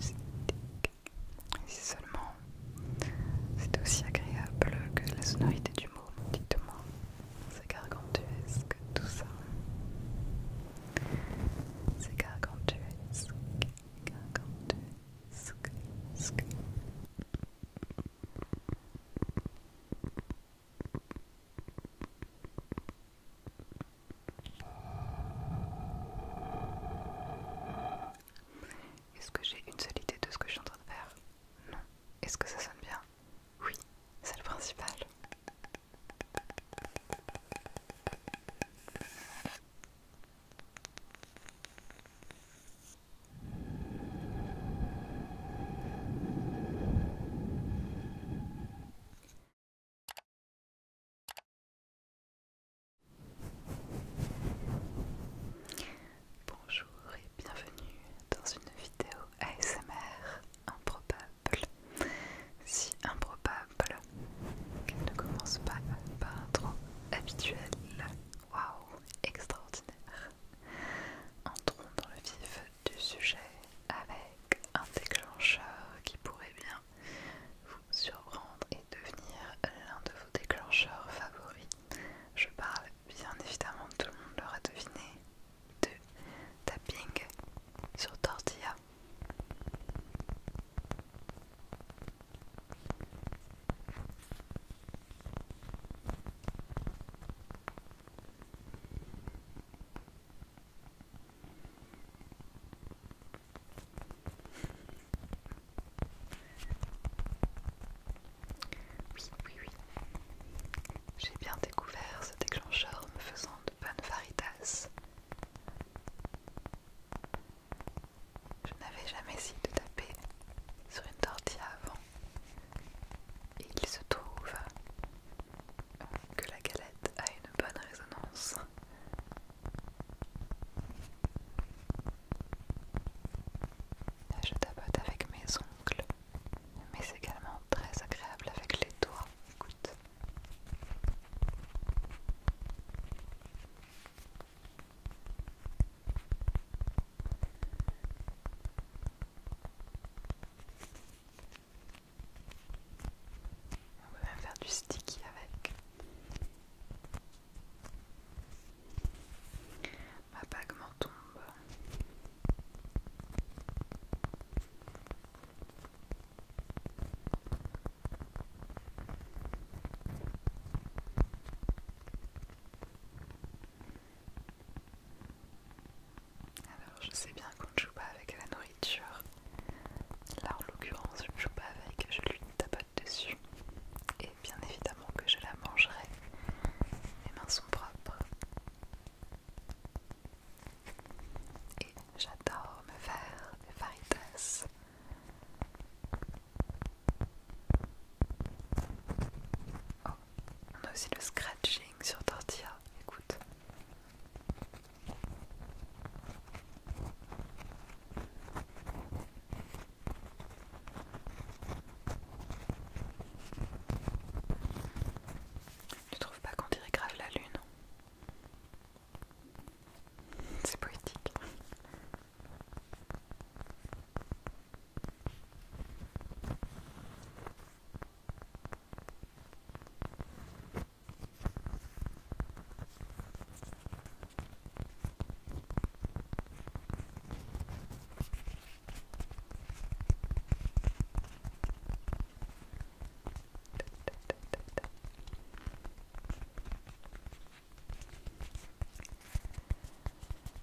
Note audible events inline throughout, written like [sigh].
Si seulement c'est aussi agréable que la sonorité du mot, dites-moi, c'est gargantuesque tout ça. C'est gargantuesque, gargantuesque. Est-ce que j'ai une seule idée de ce que je suis en train de faire Non. Est-ce que ça sonne bien Oui, c'est le principal. Bonjour et bienvenue dans une vidéo ASMR improbable. Si improbable qu'elle ne commence pas par un trop habituel. Waouh, extraordinaire. Entrons dans le vif du sujet avec un déclencheur qui pourrait bien vous surprendre et devenir l'un de vos déclencheurs favoris. Je parle bien évidemment, tout le monde l'aura deviné, de tapping sur tortilla. Oui, oui, oui. J'ai bien découvert ce déclencheur me faisant de bonnes varitas. Je n'avais jamais essayé de taper sur une tortilla avant il se trouve que la galette a une bonne résonance. je tapote avec mes ongles, mais c'est également très agréable avec les doigts. Écoute. On va même faire du sticky avec. Ma bague m'en tombe. Alors, je sais bien qu'on ne joue pas avec la nourriture. Là, en l'occurrence, je ne joue pas avec, je lui tapote dessus. Et bien évidemment que je la mangerai. Mes mains sont propres. Et j'adore me faire des faritas. Oh, on a aussi le scratching sur tortilla, écoute. Tu trouves pas qu'on dirait grave la lune C'est poétique.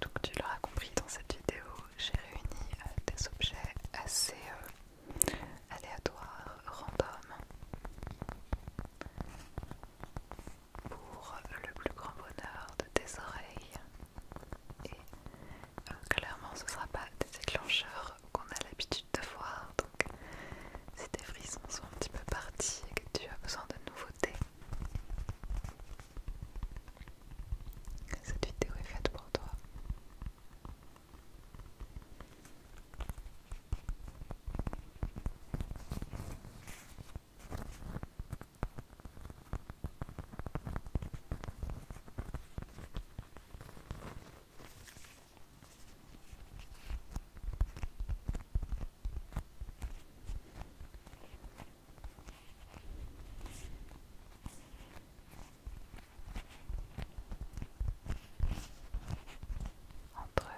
Donc tu l'auras compris dans cette vidéo, j'ai réuni euh, des objets assez euh, aléatoires, random, pour le plus grand bonheur de tes oreilles. Et euh, clairement, ce ne sera pas des déclencheurs qu'on a l'habitude de voir. Donc, si tes frissons sont un petit peu partis et que tu as besoin de nouveautés, cette vidéo est faite pour toi. Entre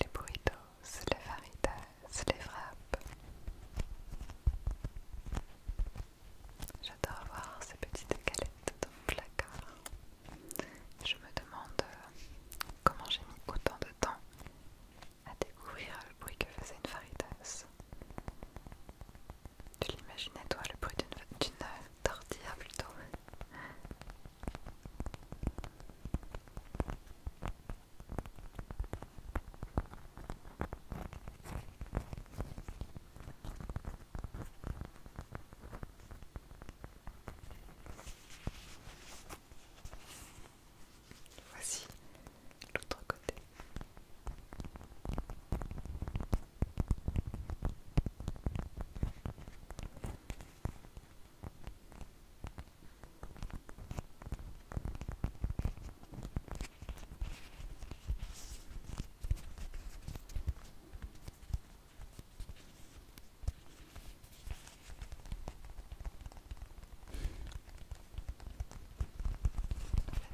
les burritos, les faritas, les frappes. J'adore voir ces petites galettes dans le placard. Je me demande comment j'ai mis autant de temps à découvrir le bruit que faisait une faritas. Tu l'imaginais toi le bruit d'une tortilla plutôt Voici l'autre côté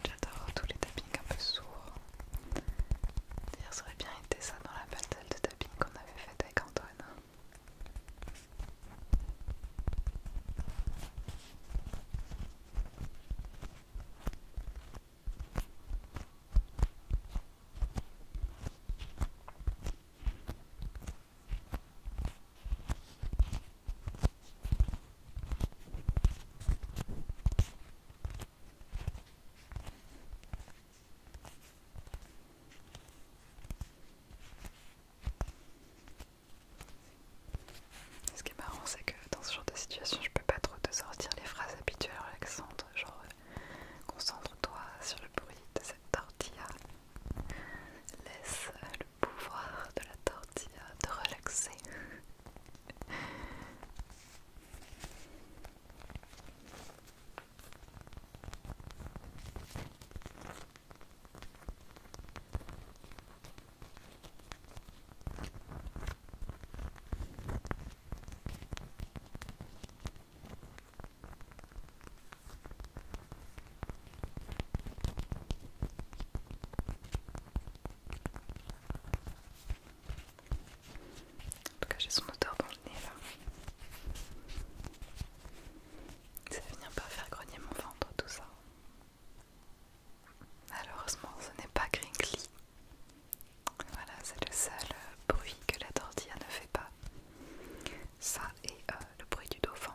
j'adore tous les tappings un peu sourds. D'ailleurs, ça aurait bien été ça dans la bataille de tapping qu'on avait faite avec Antoine. Ce qui est marrant, c'est que dans ce genre de situation, je peux pas trop te sortir les phrases habituelles l'accent genre euh, concentre-toi sur le bruit de cette tortilla, laisse le pouvoir de la tortilla de relaxer. En tout cas, j'ai son odeur dans le nez là. Ça va venir pas faire grogner mon ventre, tout ça. Malheureusement, ce n'est pas Grinkly Voilà, c'est le seul euh, bruit que la tortilla ne fait pas. Ça et euh, le bruit du dauphin.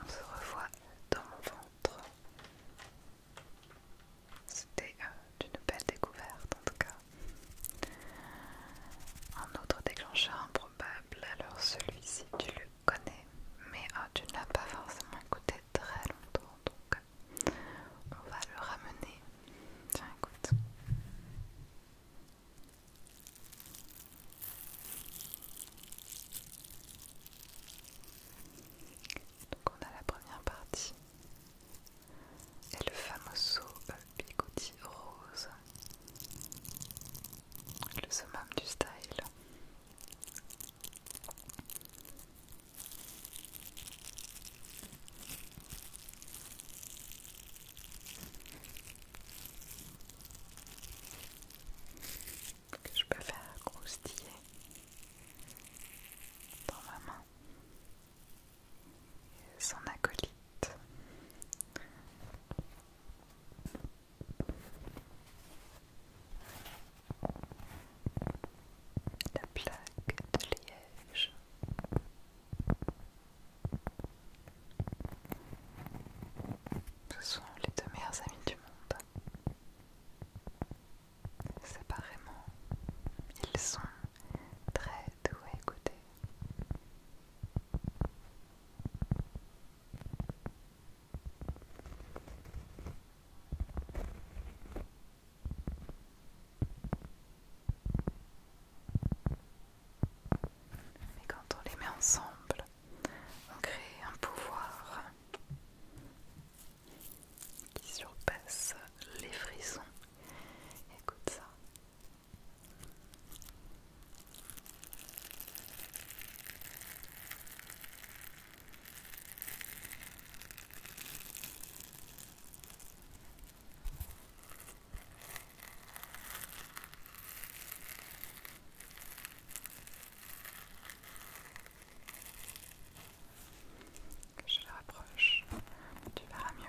on se revoit dans mon ventre. C'était euh, une belle découverte en tout cas. Un autre déclencheur improbable, alors celui-ci, tu le connais, mais ah, tu ne pas forcément écouté très longtemps, donc on va le ramener. Tiens, écoute. Donc on a la première partie et le fameux famoso euh, bigoudi rose, le summum du style que je peux faire croustiller dans ma main et son acolyte la plaque de Liège. Ce sont les deux meilleurs amis du monde. Séparément, ils sont très doux à écouter. Mais quand on les met ensemble, on crée un pouvoir qui surpasse les frissons. Écoute ça. Je le rapproche, tu verras mieux.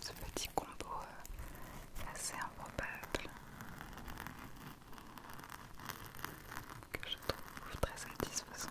ce petit combo euh, assez improbable que je trouve très satisfaisant.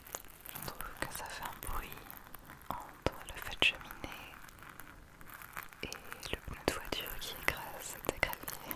Je trouve que ça fait un bruit entre le fait de cheminée et le pneu de voiture qui écrase des graviers.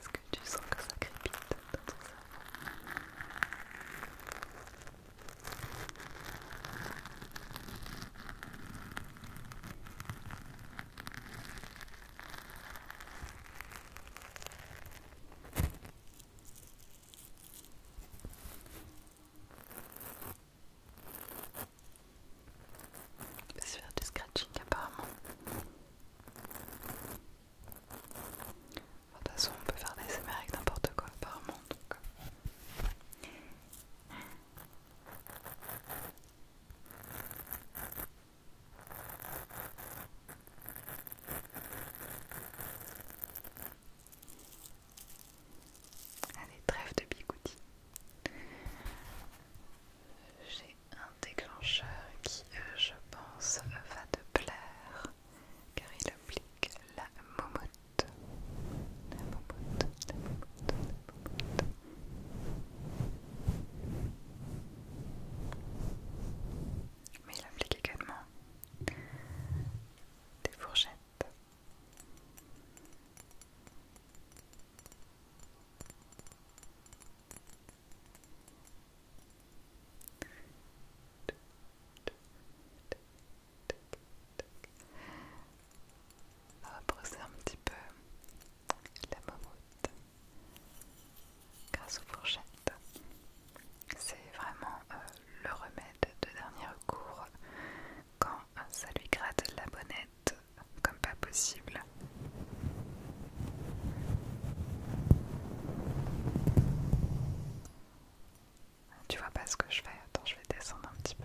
Est-ce que tu sens que ça crépite dans ton cerveau je vais faire du scratching apparemment de toute façon, on peut faire des SMR avec n'importe quoi, apparemment. Donc. Euh. Allez, trêve de bigoutis un déclencheur qui, euh, je pense, va te plaire car il applique la momote. La momote, la la Mais il applique également des fourchettes. On va brosser un petit peu la mamoute grâce aux fourchettes. C'est vraiment euh, le remède de dernier recours quand euh, ça lui gratte la bonnette comme pas possible. Tu vois pas ce que je fais Attends, je vais descendre un petit peu.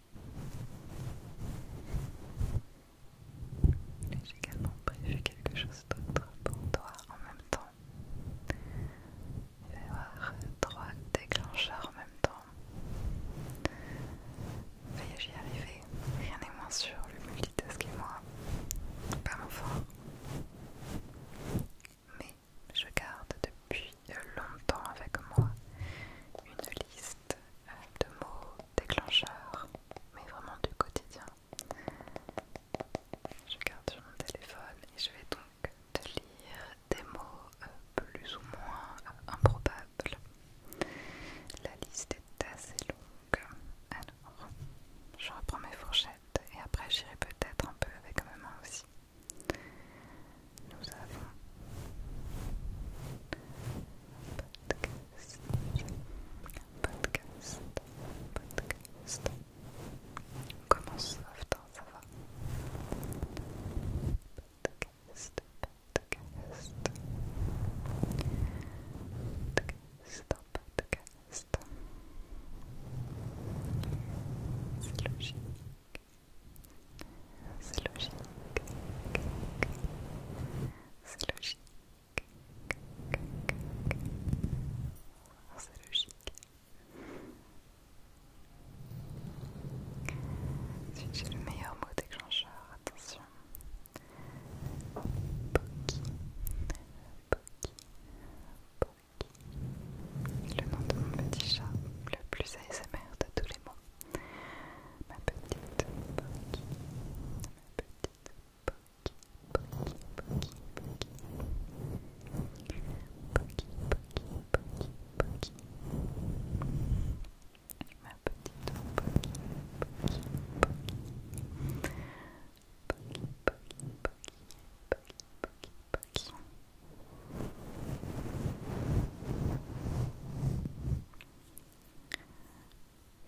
J'ai également prévu quelque chose d'autre pour toi en même temps. il va y avoir trois déclencheurs en même temps. Veuillez y arriver, rien n'est moins sûr, le multitask et moi. Pas mon fort. Mais je garde depuis longtemps avec moi une liste euh, de mots déclencheurs, mais vraiment du quotidien. Je garde sur mon téléphone et je vais donc te lire des mots euh, plus ou moins euh, improbables. La liste est assez longue. Alors, je reprends mes fourchettes et après j'irai peut-être un peu avec ma main aussi. Nous avons un podcast, un podcast, un podcast. On commence soft, ça va. Podcast, podcast. Podcast, podcast. C'est C'est logique. C'est logique. C'est logique. C'est logique. j'ai le meilleur mot d'échangeur, attention. Poki. Poki. Poki. Le nom de mon petit chat, le plus ASMR de tous les Ma petite ma petite Poki, ma petite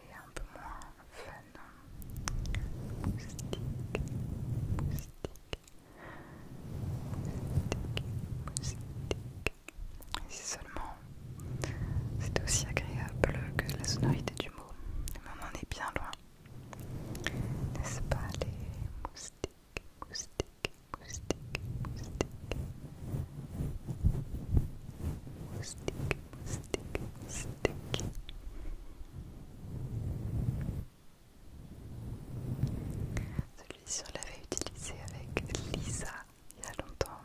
et un peu moins fun. Moustique, moustique, moustique, moustique. Et seulement c'est aussi agréable que la sonorité du mot, mais on en est bien loin. N'est-ce pas les moustiques moustique, moustique, moustique. Moustique, moustique, moustique. Celui-ci, on l'avait utilisé avec Lisa il y a longtemps.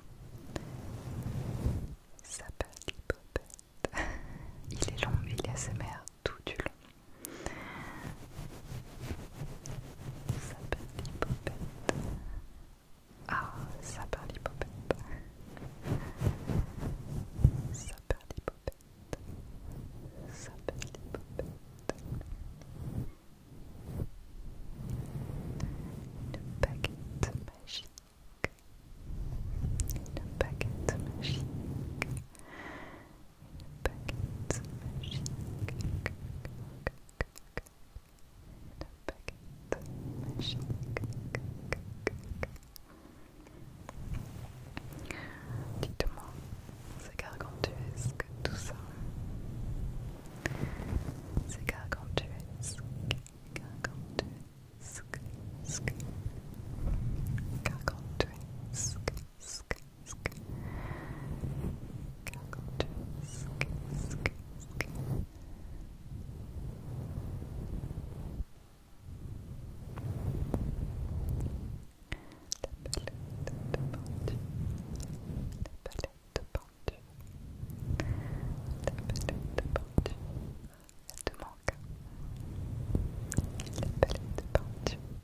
Ça s'appelle Popette. [laughs] Il est long, mais il est ASMR tout du long perd des popettes, Ah, sa Ça perd Sa des Ça perd les popettes Une baguette magique. Une baguette magique, baguette magique. Une baguette magique. Dites-moi, c'est gargantuesque tout ça. C'est gargantuesque, gargantuesque, gargantuesque, sk, sk. Sk, sk, sk. La palette de pendu, la palette pendue, la palette pendue, elle te manque, la palette pendue.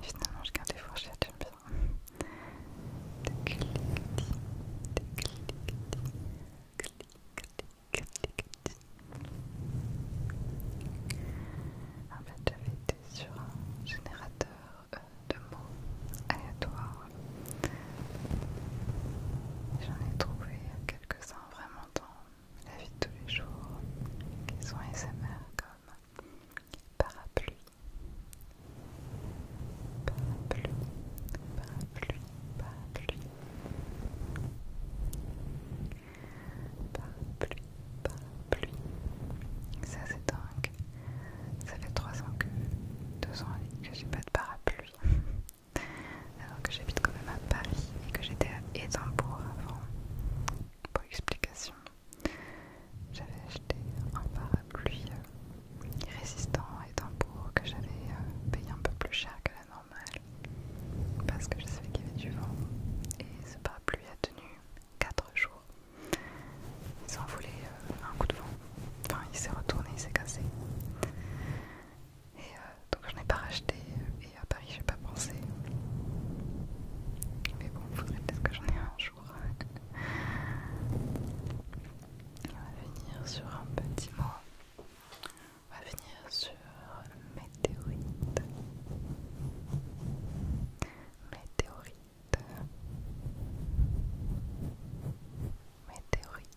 Finalement, je garde les fourchettes, j'aime bien. En fait, j'avais été sur un générateur euh, de mots aléatoires. J'en ai trouvé quelques-uns vraiment la vie de tous les jours qu'ils sont SMR comme parapluie, parapluie, parapluie, parapluie, parapluie, parapluie. Ça c'est dingue. Ça fait 3 ans que 2 ans que j'ai pas de parapluie. [laughs] alors que j'habite quand même à Paris et que j'étais à Édimbourg avant. Pour explication, j'avais acheté un parapluie euh, résistant à Édimbourg que j'avais euh, payé un peu plus cher que la normale parce que je savais qu'il y avait du vent et ce parapluie a tenu 4 jours. Il ont voulait euh, un coup de vent, enfin il s'est retourné, il s'est cassé. Et euh, donc je n'ai pas racheté euh, et à Paris j'ai pas pensé. Mais bon, il faudrait peut-être que j'en ai un jour. Euh, On va venir sur un petit mot. On va venir sur météorite. Météorite. Météorite.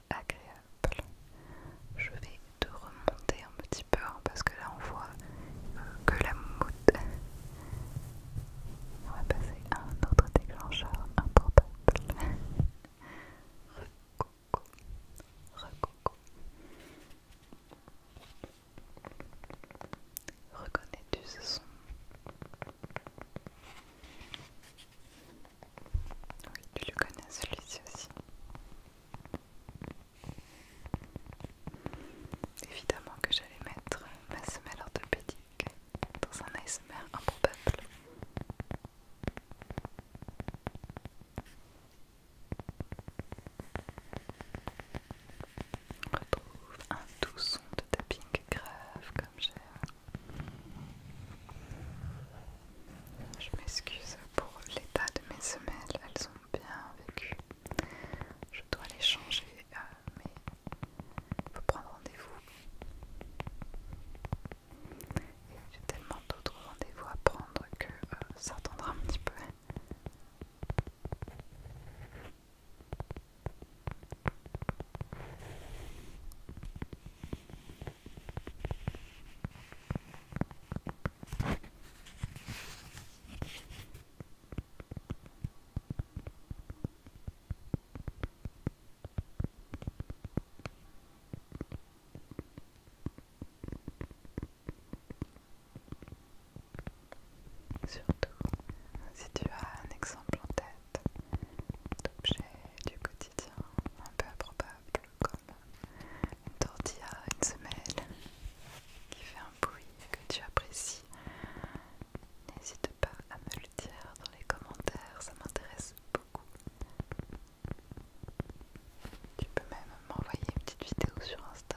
agréable. Je vais te remonter un petit peu parce que là on voit que la moumoute. On va passer à un autre déclencheur improbable. Recoucou, recoco Reconnais-tu ce son oui, tu le connais celui-ci aussi. Évidemment que j'allais mettre ma semelle orthopédique dans un ASMR improbable. On retrouve un doux son de tapping grave comme j'ai je m'excuse pour l'état de mes semelles, elles ont bien vécu. Je dois les changer, euh, mais il faut prendre rendez-vous. J'ai tellement d'autres rendez-vous à prendre que euh, ça attendra un petit peu. Surtout si tu as un exemple en tête d'objet du quotidien un peu improbable comme une tortilla, une semelle qui fait un bruit que tu apprécies. N'hésite pas à me le dire dans les commentaires, ça m'intéresse beaucoup. Tu peux même m'envoyer une petite vidéo sur Insta.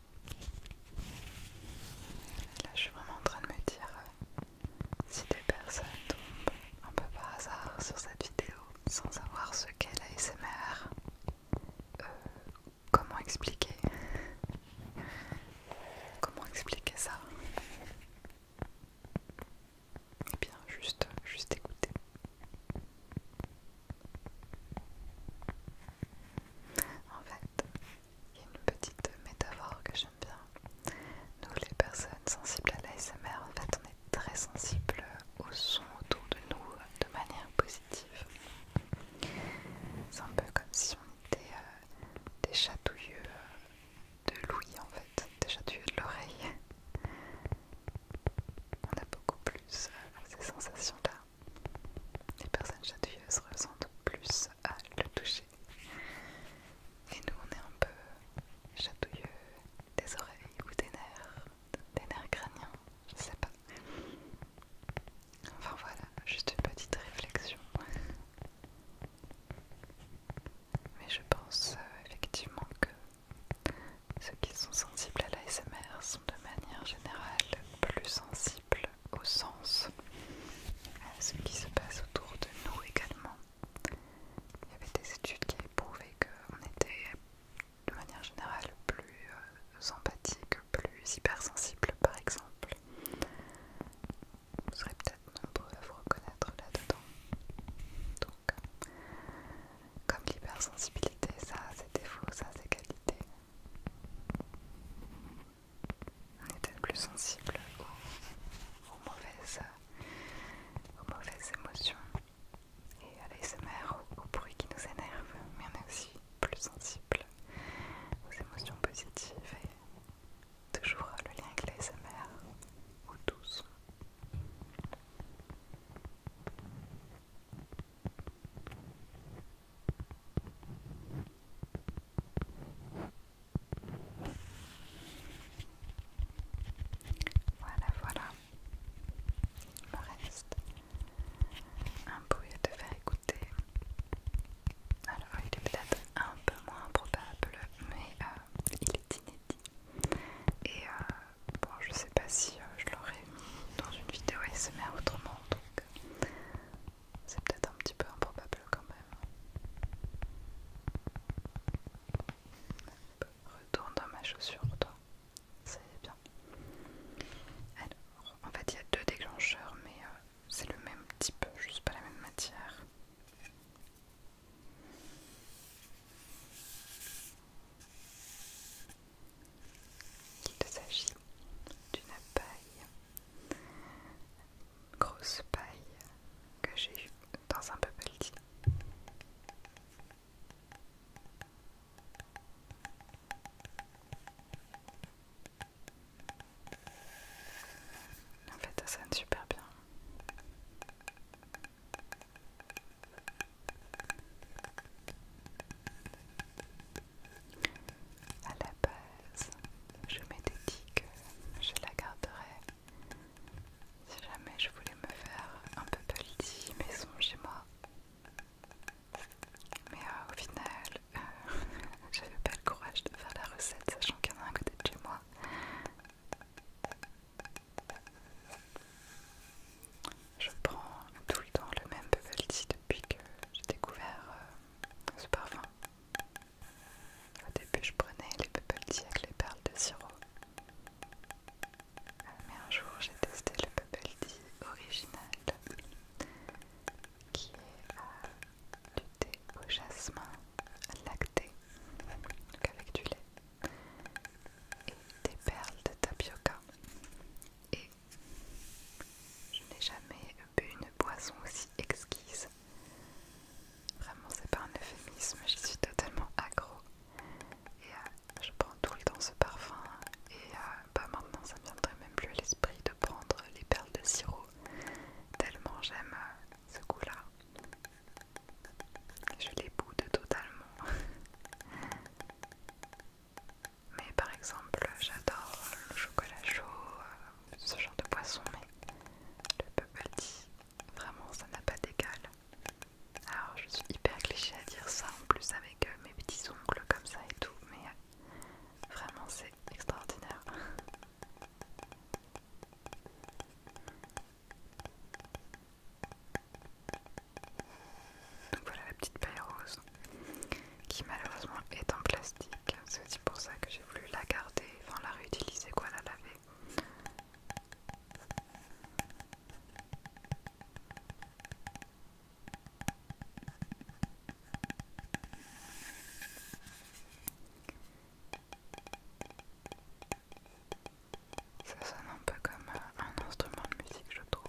Là, je suis vraiment en train de me dire euh, si des personnes tombent un peu par hasard sur cette vidéo sans savoir ce qu'est l'ASMR, euh, comment expliquer Comment expliquer ça Eh bien, juste, juste écouter. En fait, il y a une petite métaphore que j'aime bien. Nous, les personnes sensibles à l'ASMR, en fait, on est très sensibles au son autour de nous de manière positive. C'est un peu comme si on était euh, des chatouilleux de l'ouïe, en fait, des chatouilleux de l'oreille. On a beaucoup plus euh, ces sensations-là les personnes chatouilleuses ressentent plus à le toucher. Et nous, on est un peu chatouilleux des oreilles ou des nerfs, des nerfs crâniens, je sais pas. Enfin voilà, juste une petite réflexion. Mais je pense euh, effectivement que ceux qui sont sensibles à l'ASMR sont de manière générale plus sensibles au sens, à ce qui se passe autour de nous également. Il y avait des études qui prouvaient qu'on était de manière générale plus sympathique euh, plus hypersensible par exemple. Vous serez peut-être nombreux à vous reconnaître là-dedans. Donc, comme l'hypersensibilité, ça a ses ça c'est ses qualités. On est peut-être plus sensible aux, mauvaises, émotions et à l'ASMR, au, bruit qui nous énerve, mais on est aussi plus sensible aux émotions positives et toujours le lien avec l'ASMR, ou tous. Voilà, voilà. il me reste, un bruit à te faire écouter. Alors, il est peut-être un peu moins probable, mais euh, il est inédit. Et euh, bon, je sais pas si euh, je l'aurais mis dans une vidéo SMR autrement, c'est peut-être un petit peu improbable quand même. Retourne dans ma chaussure, toi. est bien. Alors, en fait, il y a deux déclencheurs, mais euh, c'est le même type, juste pas la même matière. Il s'agit d'une paille, grosse paille que j'ai eue dans un bubble tea. En fait, ça sonne super bien. À la base, je m'étais dit que je la garderais si jamais je voulais me faire un peu petit maison chez moi. Mais euh, au final, euh, [laughs] j'avais pas le courage de faire la recette, sachant qu'il y en a un côté de chez moi. Je prends tout le temps le même bubble tea depuis que j'ai découvert euh, ce parfum. Au début, je prenais les bubble tea avec les perles de sirop. Euh, mais un jour, j'ai testé le bubble tea original qui est euh, du thé au jasmin lacté, donc avec du lait et des perles de tapioca. Je n'ai jamais bu une boisson aussi exquise. Vraiment, c'est pas un euphémisme, je suis totalement accro. Et euh, je prends tout le temps ce parfum. Et euh, bah, maintenant, ça ne viendrait même plus à l'esprit de prendre les perles de sirop. Tellement j'aime euh, ce goût-là. Je les boude totalement. [laughs] Mais par exemple, j'adore le chocolat chaud, euh, ce genre de poisson, mais le bubble vraiment ça n'a pas d'égal. Alors je suis hyper cliché à dire ça en plus avec euh, mes petits ongles comme ça et tout, mais euh, vraiment c'est extraordinaire. Donc voilà la petite paille rose qui malheureusement est en plastique. C'est aussi pour ça que j'ai voulu la garder, enfin la réutiliser quoi, la laver. Ça sonne un peu comme euh, un instrument de musique, je trouve.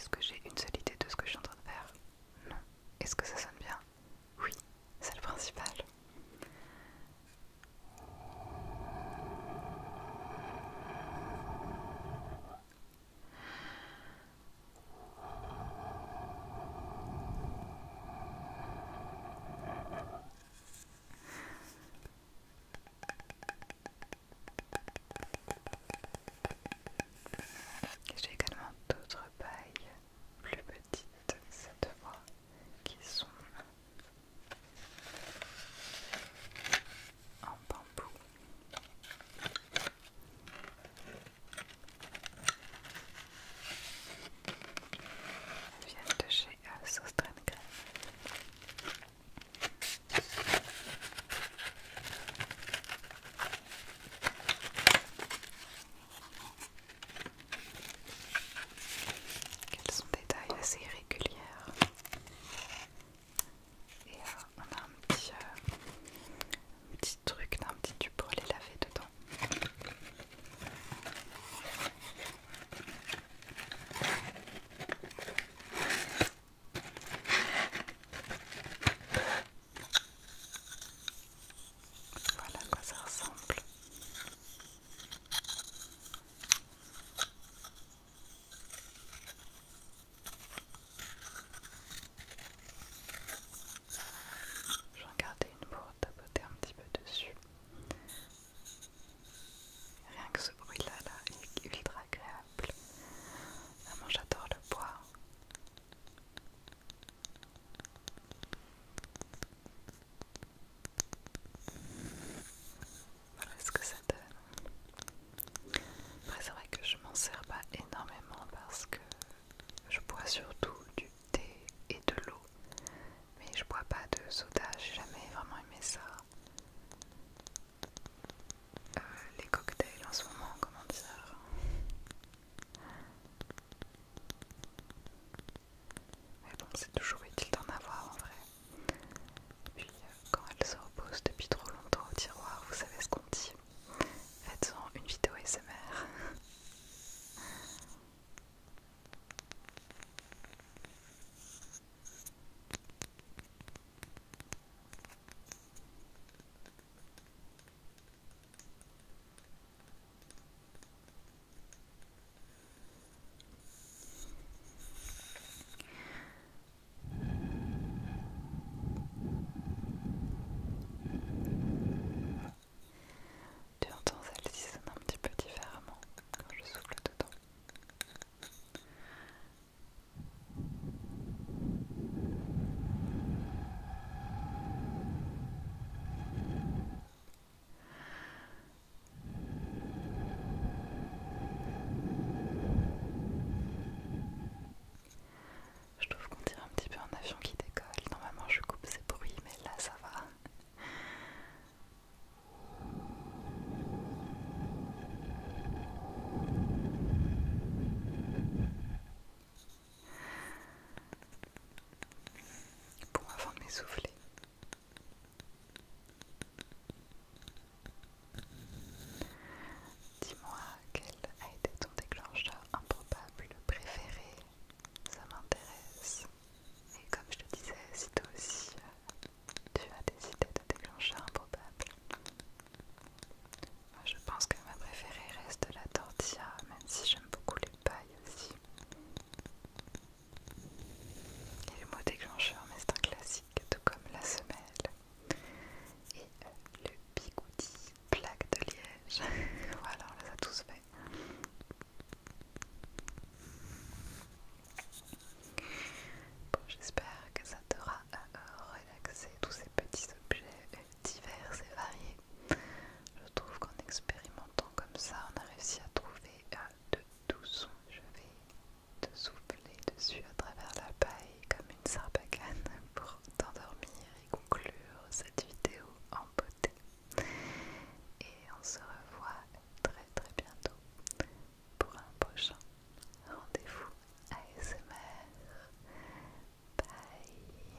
Est-ce que j'ai une seule idée de ce que je suis en train de faire Non. Est-ce que ça sonne bien Oui, c'est le principal. J'ai également d'autres pailles plus petites cette fois qui sont en bambou. Vient viennent de chez euh, qu'elles sont des tailles assez régulières Et euh, on a un petit, euh, petit truc, un petit tube pour les laver dedans. Voilà à quoi ça ressemble. J'en gardais une pour tapoter un petit peu dessus. Rien que ce bruit-là, là, est ultra agréable. Vraiment, j'adore le bois. Voilà ce que ça donne. Après c'est vrai que je m'en sers pas énormément parce que je bois surtout du thé et de l'eau. Mais je bois pas de soda, j'ai jamais vraiment aimé ça. Euh, les cocktails en ce moment, comment dire mais bon, c'est toujours utile d'en avoir en vrai. Puis euh, quand elle se repose depuis trop longtemps au tiroir, vous savez ce qu'on dit. Faites-en une vidéo SMR. Tu entends celle-ci sonne un petit peu différemment quand je souffle dedans. Je trouve qu'on dirait un petit peu un avion qui décolle. Normalement, je coupe ces bruits, mais là, ça va. Pour avant de m'essouffler, Dis-moi quel a été ton déclencheur improbable préféré, ça m'intéresse. Et comme je te disais, si toi aussi euh, tu as des idées de déclencher improbable. moi je pense que ma préférée reste la tortilla, même si j'aime beaucoup les pailles aussi. Et le mot déclencheur, mais c'est un classique, tout comme la semelle. Et euh, le bigoudi, plaque de liège. [laughs] voilà, on les a tous fait. Bon, j'espère que ça t'aura euh, relaxé tous ces petits objets euh, divers et variés. Je trouve qu'en expérimentant comme ça, on a réussi à trouver de tout Je vais te souffler dessus à travers la paille comme une sarbacane pour t'endormir et conclure cette vidéo en beauté. Et on se revoit très très bientôt pour un prochain rendez-vous ASMR. Bye